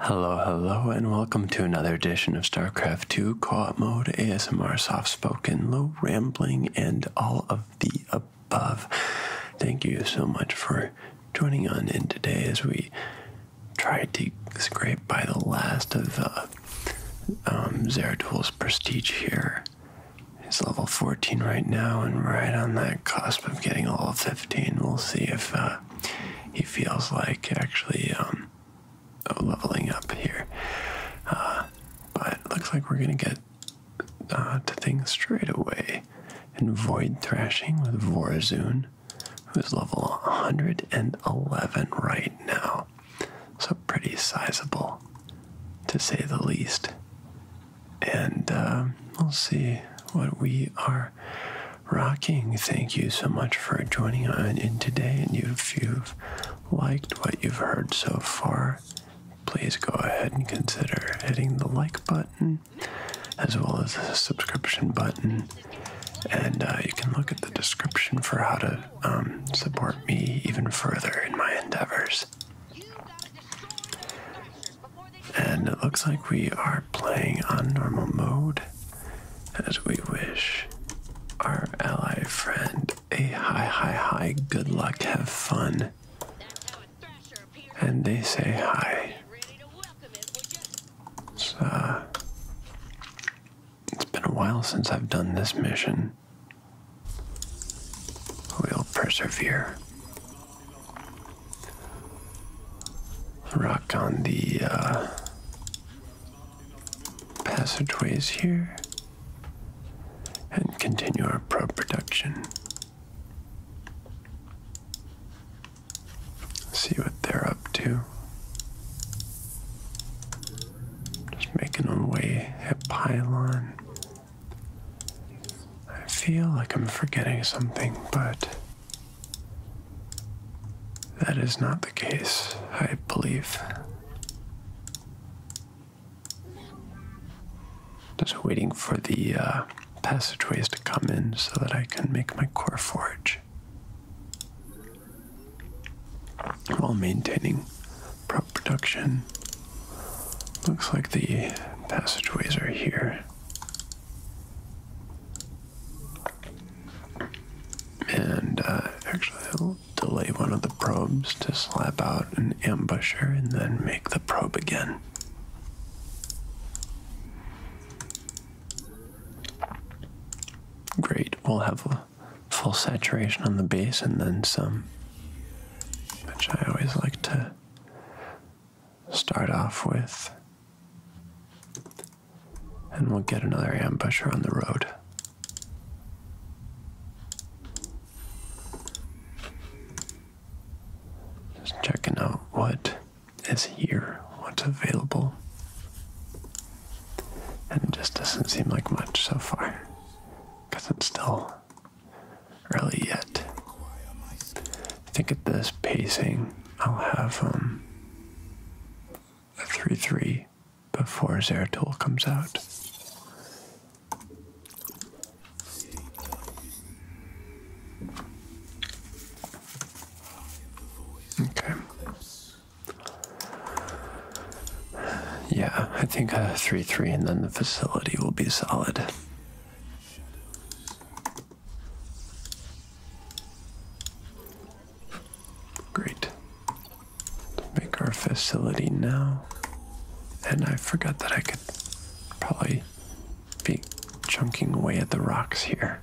Hello, hello, and welcome to another edition of StarCraft 2 Co-op Mode ASMR Soft Spoken, Low Rambling, and all of the above. Thank you so much for joining on in today as we try to scrape by the last of uh, um, Zeratul's prestige here. He's level 14 right now and right on that cusp of getting all 15. We'll see if uh, he feels like actually um, leveling up here. Uh, but looks like we're going to get uh, to things straight away. And Void Thrashing with Vorazun, who's level 111 right now. So pretty sizable, to say the least. And uh, we'll see what we are rocking. Thank you so much for joining us in today. And if you've liked what you've heard so far, please go ahead and consider hitting the like button as well as the subscription button. And uh, you can look at the description for how to um, support me even further in my endeavors. And it looks like we are playing on normal mode as we wish our ally friend a high, high, high good luck, have fun. And they say hi. It's, it's been a while since I've done this mission. We'll persevere. Rock on the uh, passageways here and continue our pro production. See what they're up to. Just making our way at Pylon. I feel like I'm forgetting something, but that is not the case, I believe. Just waiting for the uh, passageways to come in so that I can make my core forge while maintaining production. Looks like the passageways are here. And uh, actually, I'll delay one of the probes to slap out an ambusher and then make the probe again. Great, we'll have a full saturation on the base and then some, which I always like to start off with. And we'll get another ambusher on the road. Just checking out what is here, what's available. And it just doesn't seem like much so far because it's still early yet. I think at this pacing, I'll have um, a 3 3 before Zeratul comes out. Okay. Yeah, I think a 3 3 and then the facility will be solid. Great. make our facility now. And I forgot that I could probably be chunking away at the rocks here.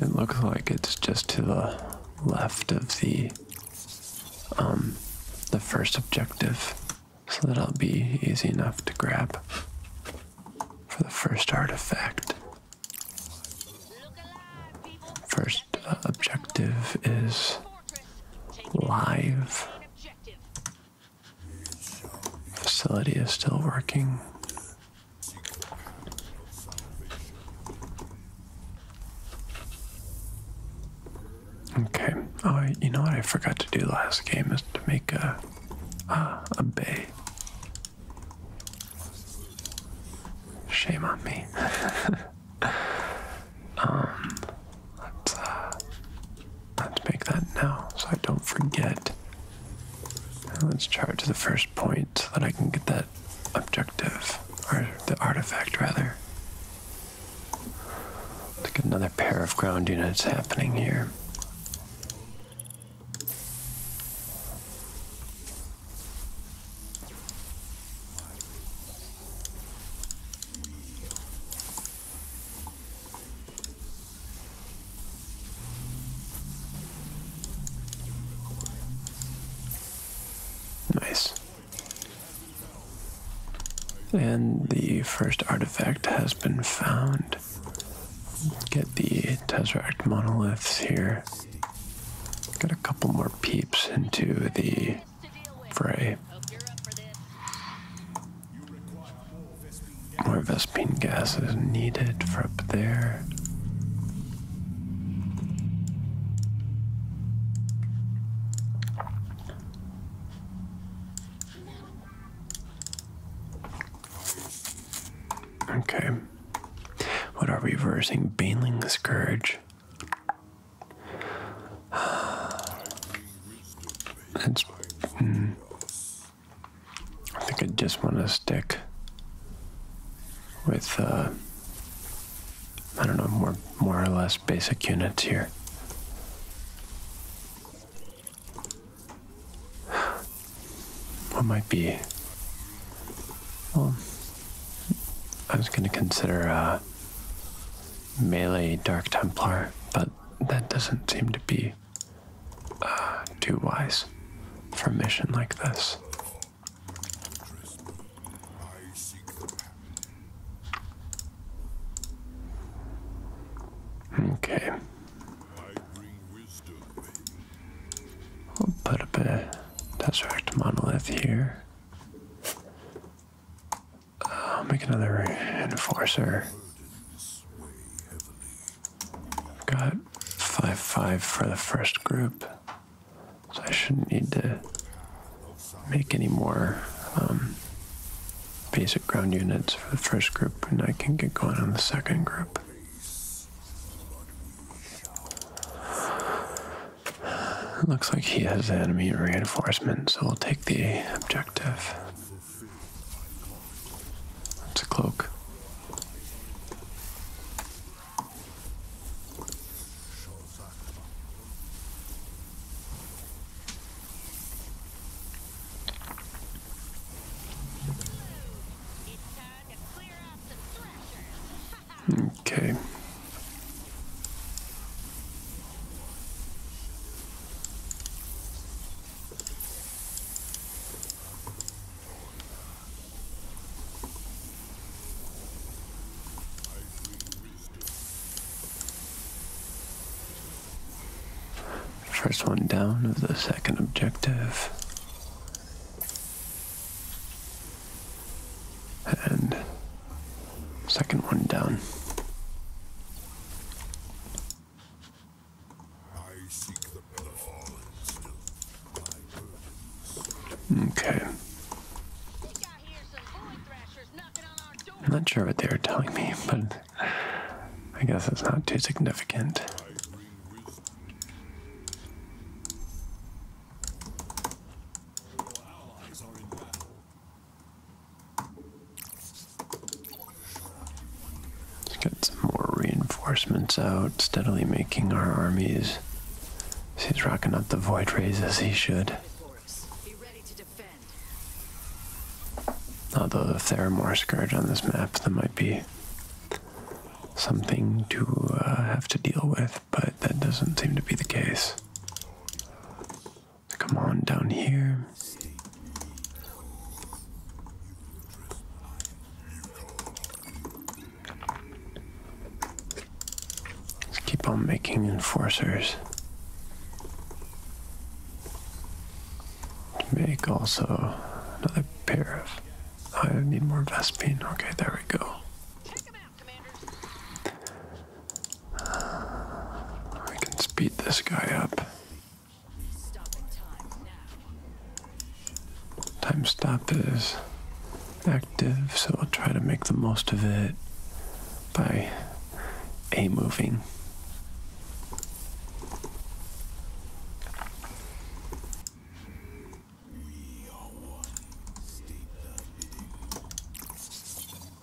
It looks like it's just to the left of the um the first objective. So that'll be easy enough to grab for the first artifact. First uh, objective is live Facility is still working. Okay. Oh, you know what I forgot to do last game is to make a a bay. Shame on me. Um, uh, let's make that now so I don't forget. let's chart to the first point so that I can get that objective or the artifact rather. To get another pair of ground units happening here. Nice. And the first artifact has been found. Get the Tesseract monoliths here. Got a couple more peeps into the Frey. More Vespine gas is needed for up there. Okay. What are we reversing? Baneling Scourge. That's, mm, I think I just want to stick with, uh, I don't know, more, more or less basic units here. What might be? Well, I was going to consider uh, melee Dark Templar, but that doesn't seem to be uh, too wise for a mission like this. Okay. We'll put a bit Tesseract Monolith here. I'll make another enforcer. got 5 5 for the first group, so I shouldn't need to make any more um, basic ground units for the first group, and I can get going on the second group. It looks like he has enemy reinforcement, so we'll take the objective. That's a cloak. Uh, okay, First one down of the second objective. And Second one down. Okay. I'm not sure what they were telling me, but I guess it's not too significant. Let's get some more reinforcements out, steadily making our armies. He's rocking up the void rays as he should. Although if there are more scourge on this map, there might be something to uh, have to deal with, but that doesn't seem to be the case. Come on down here. Let's keep on making enforcers. Make also another pair of. I need more Vespene. Okay, there we go. Uh, can speed this guy up. Time stop is active, so I'll try to make the most of it by A moving.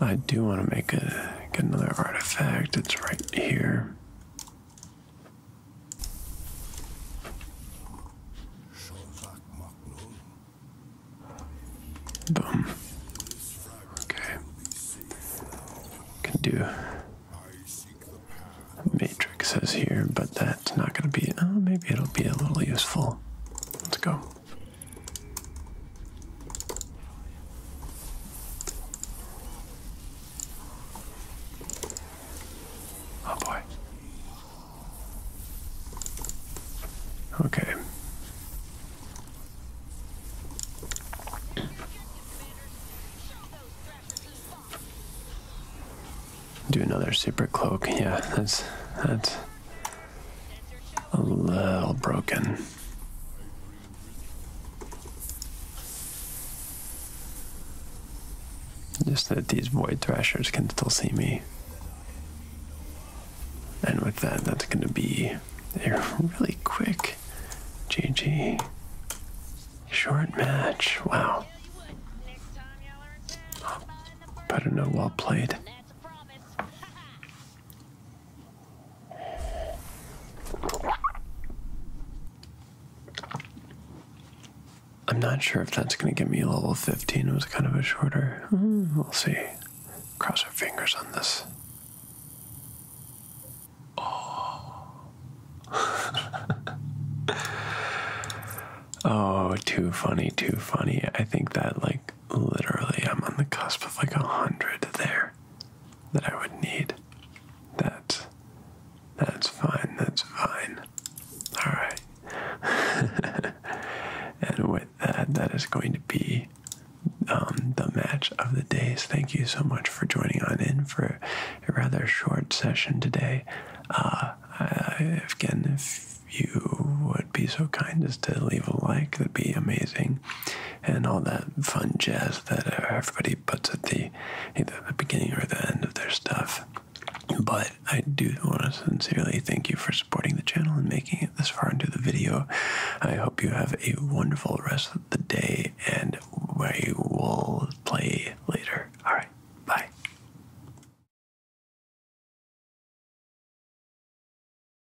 I do want to make a get another artifact. It's right here. Boom. Okay. Can do matrixes here, but that's not going to be. Oh, maybe it'll be a little useful. Let's go. Oh boy. Okay. Do another super cloak. Yeah, that's that's a little broken. Just that these void thrashers can still see me. And with that, that's going to be a really quick GG. Short match. Wow. Better not know, well played. I'm not sure if that's going to give me level 15. It was kind of a shorter. We'll see. Cross our fingers on this. Oh. oh, too funny, too funny. I think that, like, literally, I'm on the cusp of like a hundred there that I would need. That that's fine, that's fine. Alright. and with that, that is going to be um, the match of the days. Thank you so much for joining on in for a rather short session today. Uh, again, if you would be so kind as to leave a like, that'd be amazing and all that fun jazz that everybody puts at the either the beginning or the end of their stuff. But I do want to sincerely thank you for supporting the channel and making it this far into the video. I hope you have a wonderful rest of the day, and we will play later. All right, bye.